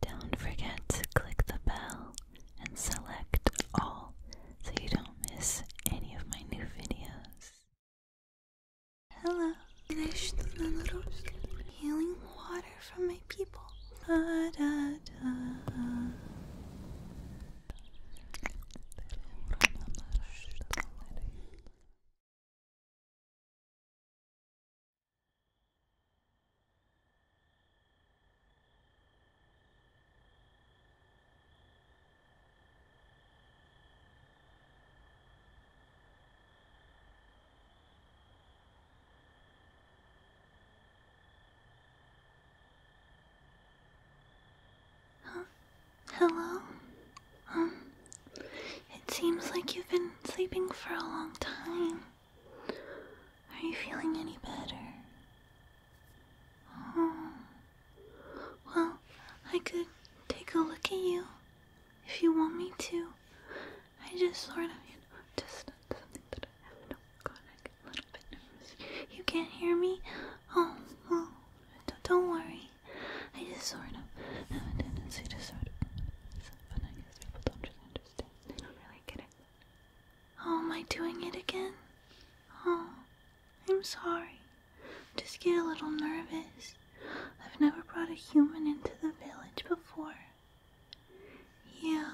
Don't forget to click the bell and select all so you don't miss any of my new videos. Hello, healing water from my people hello? Um, it seems like you've been sleeping for a long time. Are you feeling any better? Oh. Well, I could take a look at you if you want me to. I just sort of, you know, just something that I have. a little bit nervous. You can't hear me? Oh, well, don't worry. I just sort of have a tendency to sort of, I don't really get it. Oh, am I doing it again? Oh, I'm sorry. Just get a little nervous. I've never brought a human into the village before. Yeah,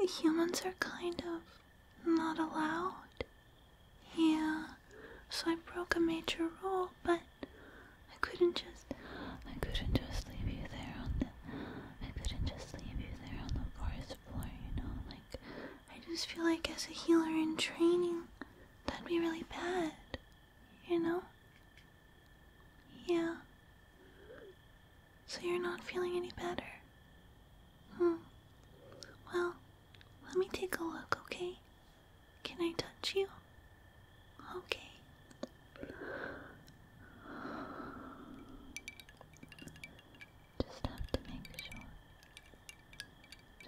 humans are kind of not allowed. Yeah, so I broke a major rule, but I couldn't just I couldn't just leave you there on the, I couldn't just leave you there on the forest floor, you know, like, I just feel like as a healer in training, that'd be really bad, you know? Yeah. So you're not feeling any better? Hmm. Well, let me take a look, okay? Can I touch you? Okay. Just have to make sure.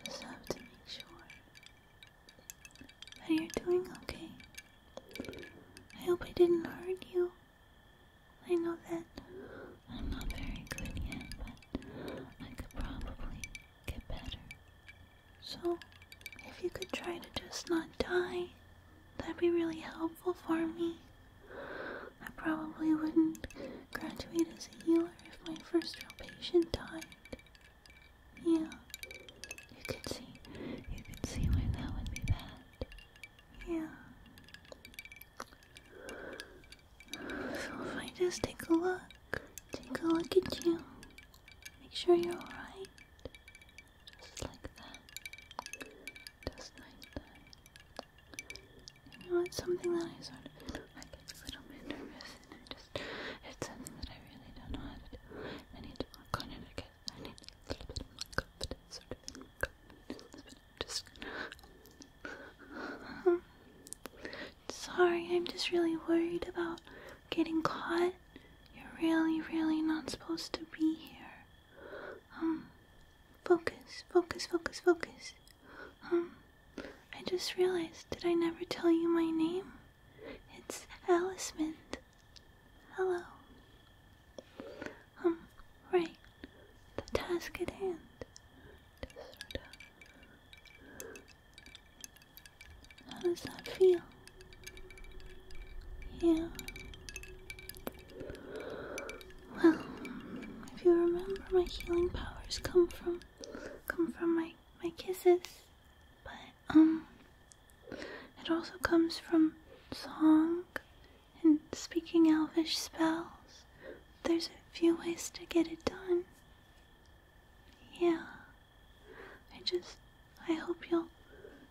Just have to make sure that you're doing okay. I hope I didn't hurt you. I know that I'm not very good yet, but I could probably get better. So, if you could try to just not die, That'd be really helpful for me. I probably wouldn't graduate as a healer if my first real patient died. Yeah, you can see, you can see why that would be bad. Yeah. So if I just take a look, take a look at you, make sure you're alright. Just like that. Just like that. You know, it's something that I sort of, I get a little bit nervous and I just, it's something that I really don't know how to do. I need to work on it, I guess. I need a little bit of in my confidence, but i Sorry, I'm just really worried about getting caught. You're really, really not supposed to be here. Um, focus, focus, focus, focus. Um, I just realized, did I never tell you my name? It's Alicement. Hello. Um, right. The task at hand. How does that feel? Yeah. Well, if you remember, my healing powers come from come from my my kisses, but um, it also comes from song and speaking elvish spells. There's a few ways to get it done. Yeah. I just I hope you'll.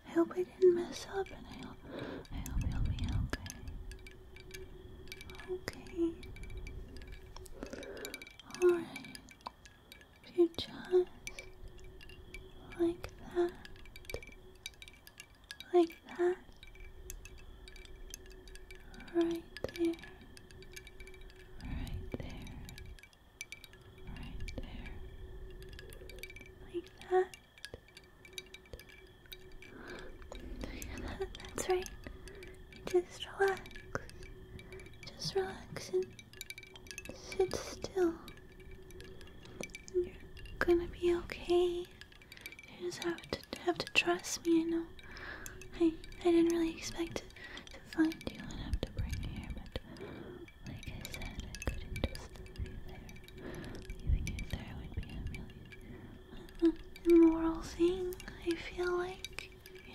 I hope I didn't mess up, and I hope. I hope you'll be okay. Okay. Alright. If you just. Like that. Like that. Right there. Right there. Right there. Like that that's right. Just relax. Just relax and sit still. You're gonna be okay. You just have to have to trust me. I know. I I didn't really expect to, to find you and have to bring you here, but like I said, I couldn't just leave you there. Leaving you there would be a uh, really thing, I feel like,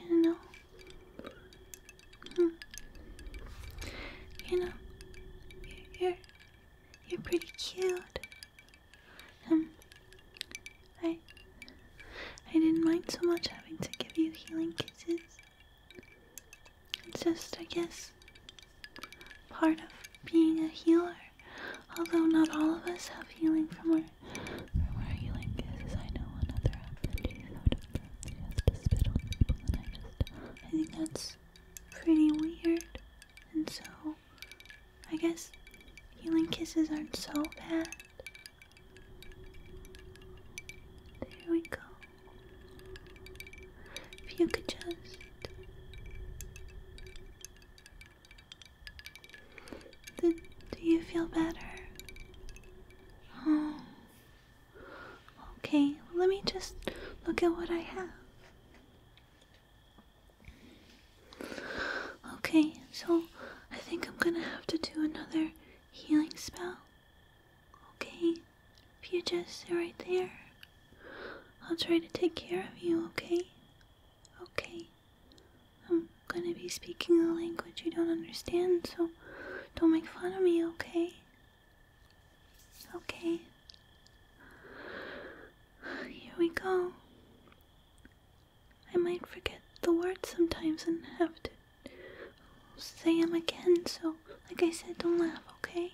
you know? Hmm. You know, you're, you're pretty cute. Um, I, I didn't mind so much having to give you healing kisses. It's just, I guess, part of being a healer. Although not all of us have healing from our, from our healing cases. I know another app that she's out on people, and I just, I think that's pretty weird. And so, I guess healing kisses aren't so bad. There we go. If you could just do, you feel better? Oh. Okay, let me just look at what I have. Okay, so I think I'm gonna have to do another healing spell. Okay, if you just sit right there, I'll try to take care of you, okay? Okay. I'm gonna be speaking a language you don't understand, so don't make fun of me, okay? Okay. Here we go. I might forget the words sometimes and have to say them again, so like I said, don't laugh, okay?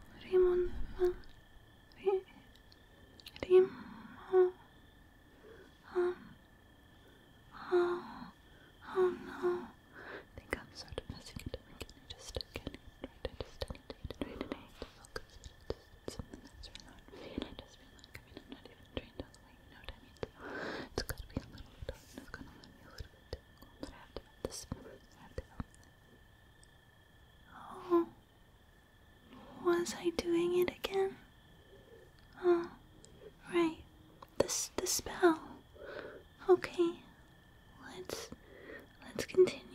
Raymond van Re, Remo. Um, oh, oh no. I think I'm sort of messing it up. Can I just get it right? I just I need to try today to focus. It's something that's really hard for me, just feel like, I am not even trained all the way, you know what I mean? So it to be a little bit it's gonna be a little bit difficult, I have to have this, I Oh, was I doing it again? Oh, right. This the spell. Okay, let's let's continue.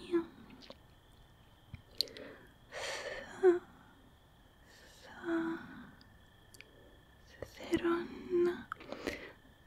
Th th Theron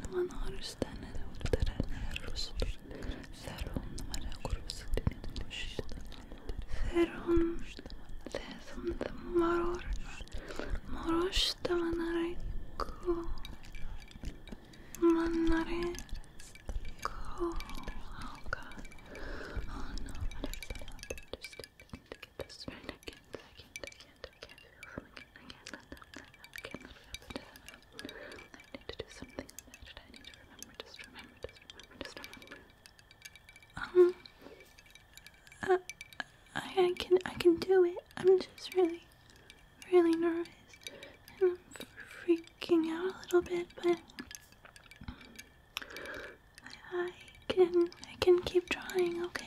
numara hastanede öldürenler Rus'tur. Ferhun numara kurması denilmişti. maror. Moroş davanare ko. Manare ko. I don't know how to I can't, I can't, I can't, I can't feel Okay, a little bit I need to do something on that. I need to remember, just remember, just remember, Um, uh, I, I can, I can do it. I'm just really, really nervous, and I'm freaking out a little bit, but I can, I can keep trying. Okay.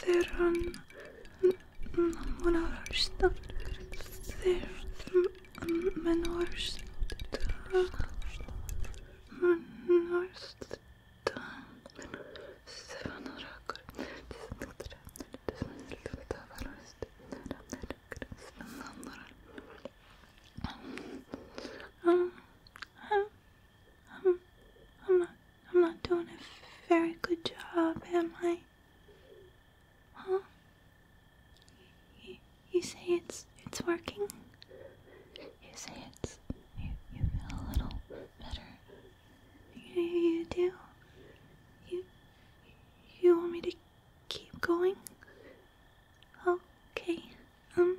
Þeirran munaðursta Þeirran munaðursta Munaðursta I'm, I'm not, I'm not doing a very good job, am I? Huh? You, say it's, it's working? You say it's, you, you feel a little better. You, you do? You, you want me to keep going? Okay, um,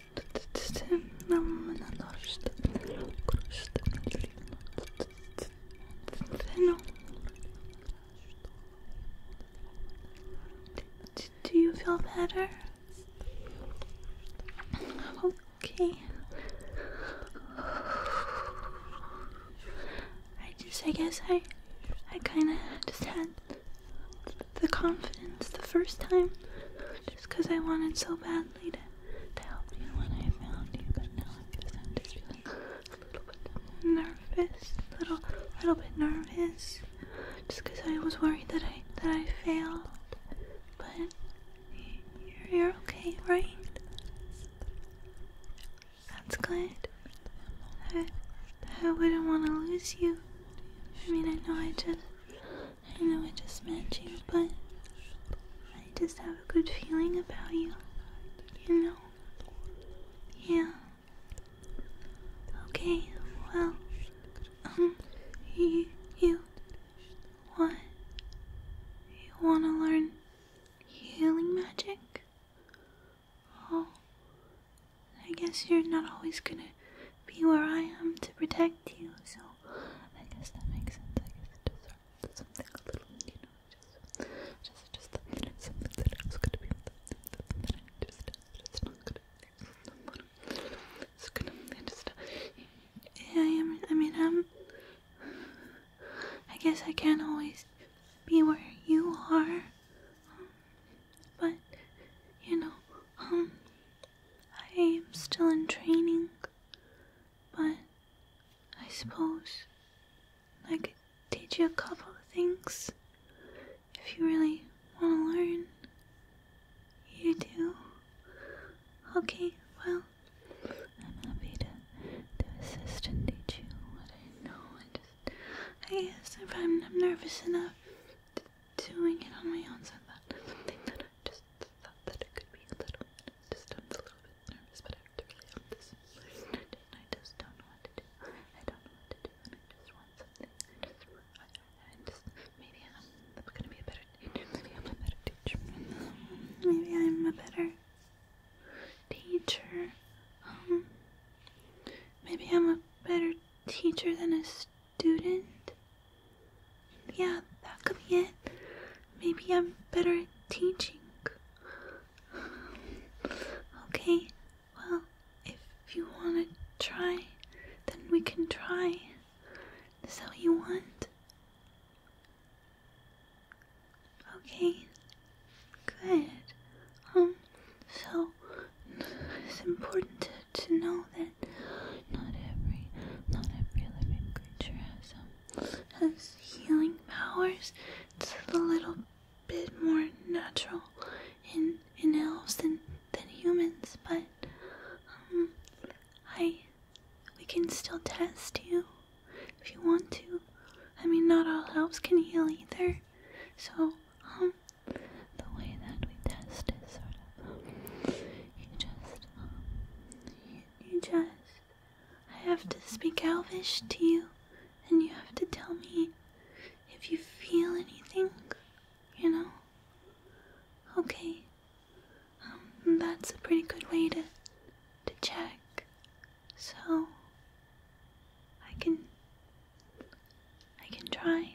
Do you feel better? Okay. I just, I guess I, I kind of just had the confidence the first time just because I wanted so badly to, to help you when I found you, but now I guess I'm just feeling a little bit nervous, little, little bit nervous, just because I was worried that I that I failed. But you're, you're okay, right? That's good. I, I wouldn't want to lose you. I mean, I know I just I know I just met you, but I just have a good feeling about you. You know? Yeah. Okay, well, um, you, you, what? You wanna learn healing magic? Oh, I guess you're not always gonna be where I am to protect you. So I guess that makes sense. I guess it just something a little, you know, just just just something that I was gonna be something that I just it's not gonna it's gonna I just yeah, I am I mean I'm I guess I can't always be where you are. Um, but you know, um I am still in training, but I suppose I could teach you a couple of things if you really want to learn. You do? Okay, well, I'm happy to, to assist and teach you what I know. I just, I guess if I'm, nervous enough doing it on my own, so I just thought that it could be a little just a little bit nervous, but I have to really help this I just don't know what to do. I don't know what to do, I just want something. I just, maybe I'm gonna be a better teacher. Maybe I'm a better teacher. Maybe I'm a better teacher. Um, maybe I'm a better teacher than a student. Yeah, that could be it. Maybe I'm better at teaching. Okay, well, if you want to try, then we can try. Is that what you want? Okay, good. Um, so it's important to to know that not every not every living creature has um, has healing powers. It's a little bit more natural in in elves than than humans, but um, I we can still test you if you want to. I mean not all elves can heal either. So um, the way that we test is sort of you just, um, you, just, I have to speak Elvish to you, and you have to tell me if you feel anything, you know? Okay. Um, that's a pretty good way to, to check. So, I can, I can try.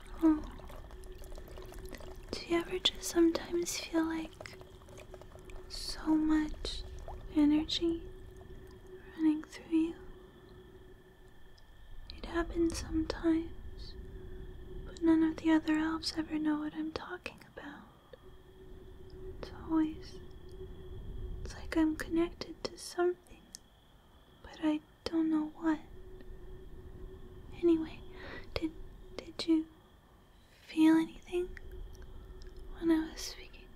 Oh. Do you ever just sometimes feel like so much energy running through you? It happens sometimes, but none of the other elves ever know what I'm talking about. It's always. It's like I'm connected to something, but I don't know what. Anyway, did did you feel anything when I was speaking?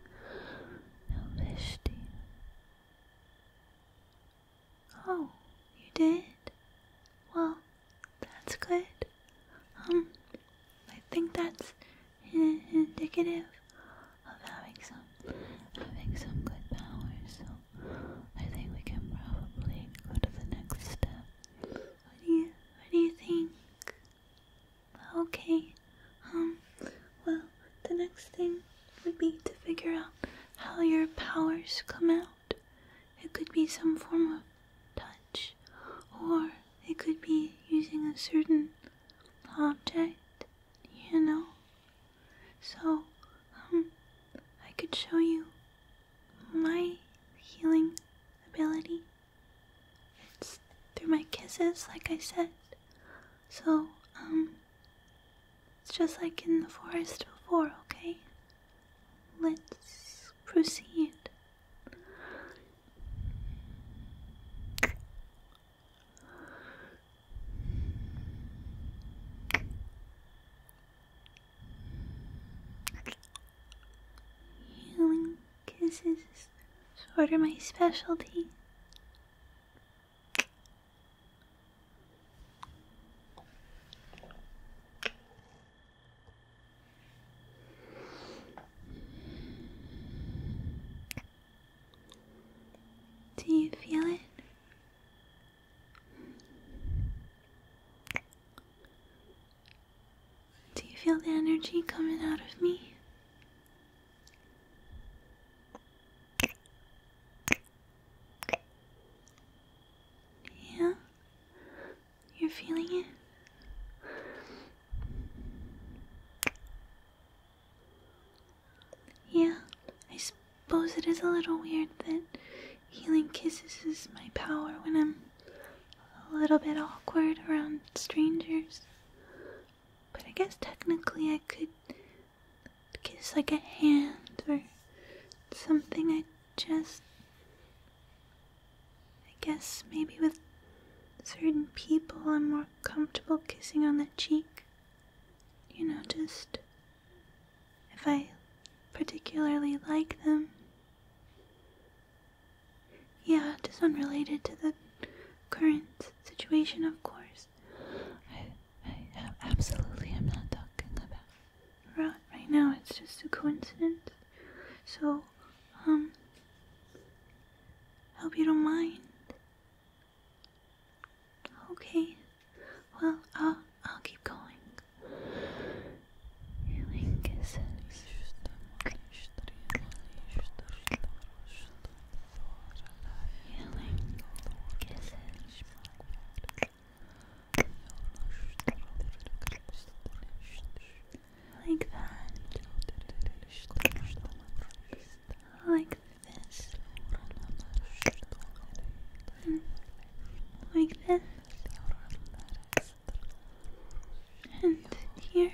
No, Vishti. Oh, you did? Well, that's good. Um, I think that's indicative of having some having some good powers. So I think we can probably go to the next step. What do you what do you think? Okay. Um well the next thing would be to figure out how your powers come out. It could be some form of touch or it could be using a certain object, you know. So, um I could show you my healing ability. It's through my kisses, like I said. So, um, it's just like in the forest before, okay? Let's proceed. Healing kisses is sort of my specialty. Do you feel it? Do you feel the energy coming out of me? Yeah? You're feeling it? Yeah, I suppose it is a little weird that Healing kisses is my power when I'm a little bit awkward around strangers. But I guess technically I could kiss like a hand or something I just. I guess maybe with certain people I'm more comfortable kissing on the cheek. You know, just if I particularly like them. Yeah, just unrelated to the current situation, of course. I, I absolutely am not talking about. Right, now, it's just a coincidence. So, um, hope you don't mind. Okay. Well, i uh, I'll keep going. Healing kisses. Healing kisses. Like that. Like this. Like this and here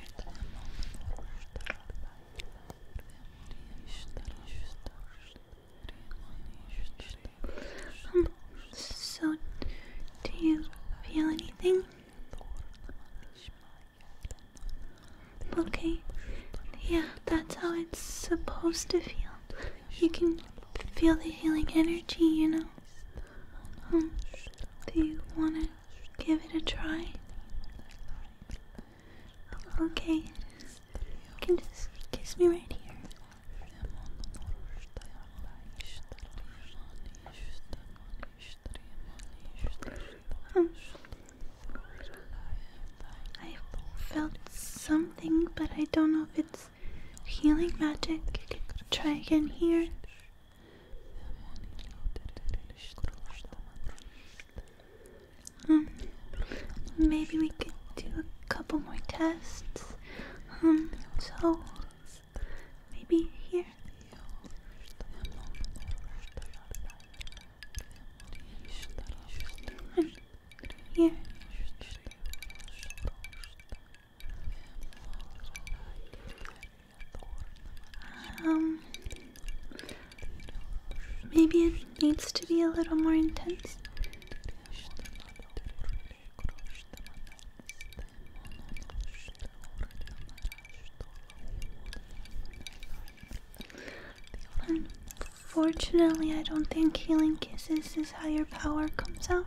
um, so do you feel anything? Okay, yeah, that's how it's supposed to feel you can feel the healing energy, you know. Um, do you want to give it a try? Okay, you can just kiss me right here. Um, I felt something, but I don't know if it's healing magic. Try again here. Um, maybe we can do a couple more tests. Um, so maybe here. Um, here. Um, maybe it needs to be a little more intense. Unfortunately, I don't think healing kisses is how your power comes out.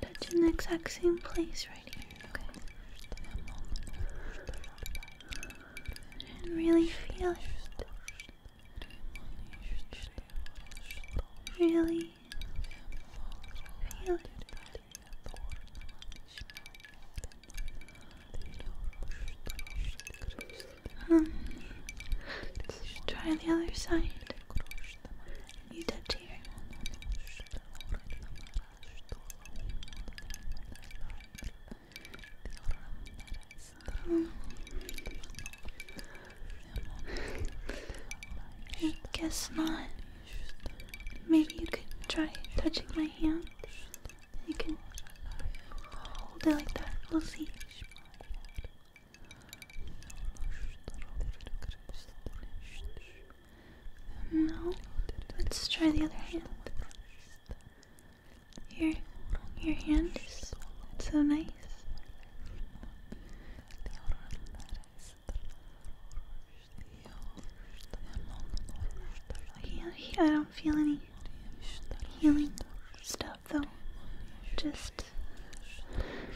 That's in the exact same place right here, okay? And really feel it. Really feel it. Um, let's try the other side. I guess not. Maybe you could try touching my hand. You can hold it like that. We'll see. No. Let's try the other hand. Your your hand is so nice. I don't feel any healing stuff though. Just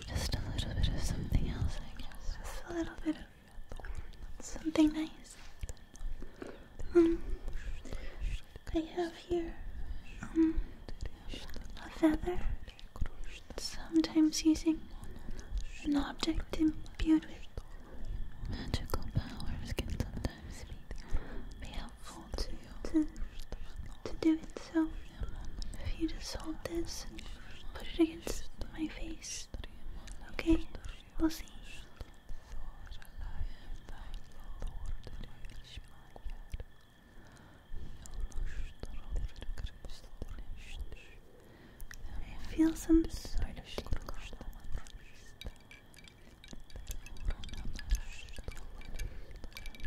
just a little bit of something else, I guess. Just a little bit of something nice. Um, I have here um, a feather. Sometimes using an object imbued with magical powers can sometimes be, helpful to, to do it, so if you just hold this and put it against my face, okay? We'll see. feel some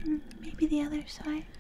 hmm, Maybe the other side.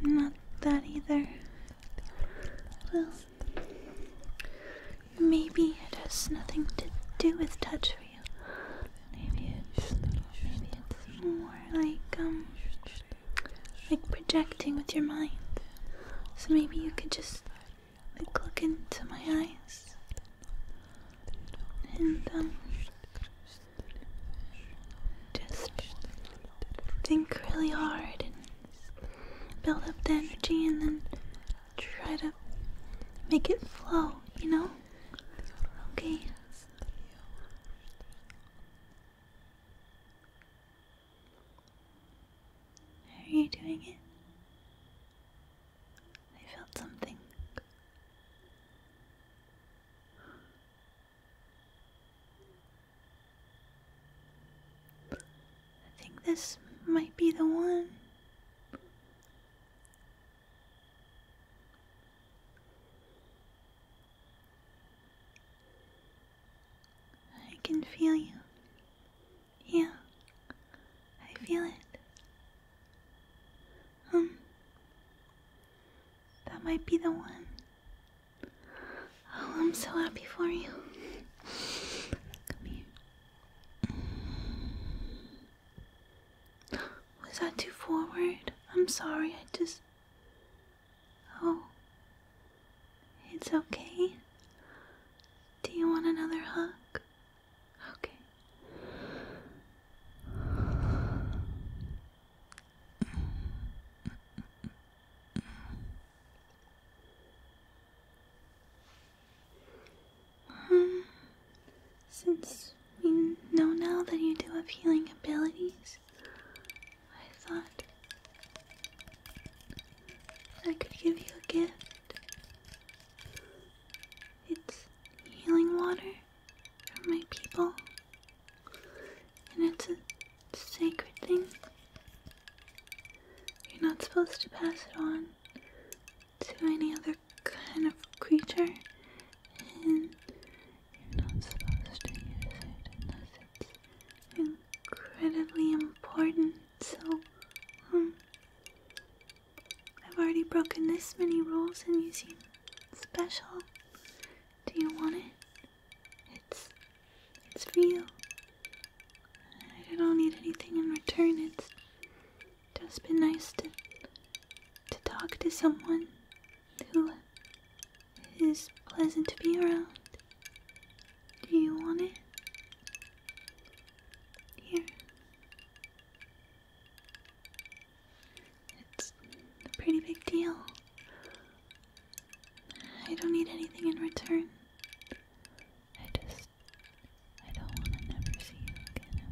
Not that either. Well, maybe it has nothing to do with touch for you. Maybe it's, maybe it's more like, um, like projecting with your mind. So maybe you could just like look into my eyes and um just think really hard and build up the energy and then try to make it flow, you know? Okay. Are you doing it? I felt something. I think this might be the one. I can feel you. Yeah, I feel it. Um, that might be the one. Oh, I'm so happy for you. Come here. Was that too forward? I'm sorry, I just. Oh. It's okay. Do you want another hug? Okay since we know now that you do have healing abilities, I thought I could give you a gift. It's healing water from my people. And it's a sacred thing. You're not supposed to pass it on to any other kind of creature, and you're not supposed to use it unless it's incredibly important. So, hmm. I've already broken this many rules, and you seem special. Do you want it? It's it's for you. I don't need anything in return. It's just been nice to to talk to someone who is pleasant to be around. Do you want it? Here. It's a pretty big deal. I don't need anything in return. I just. I don't want to never see you again.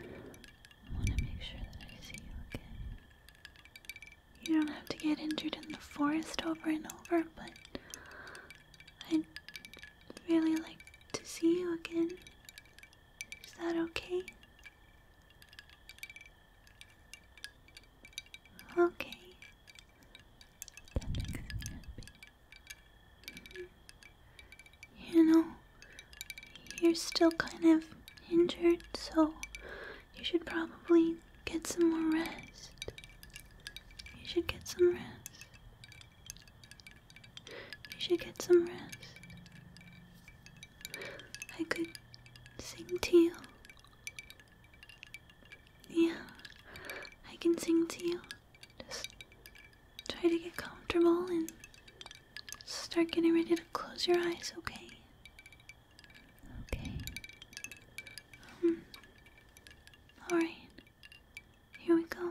I want to. want to make sure that I see you again. You don't have to get injured in the forest over and over, but. I'd really like to see you again. Is that okay? Okay. That makes me happy. You know, you're still kind of injured, so you should probably get some more rest. You should get some rest. You should get some rest. I could sing to you. Yeah, I can sing to you. Just try to get comfortable and start getting ready to close your eyes, okay? Okay. Um, Alright, here we go.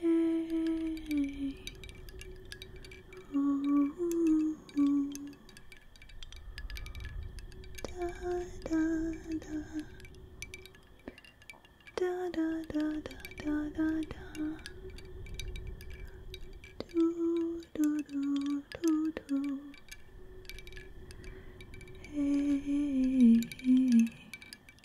Hey. Oh. Da da da da da da da da da do do do do do hey,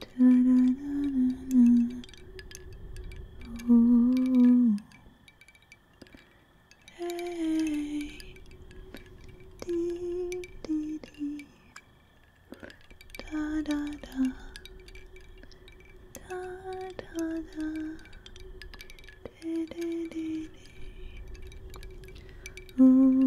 Da -da -da -da -da. Oh. Hey. Dee, dee, dee. Da da da. Da da da. Dee, dee, dee, dee. Ooh.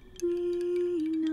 we know.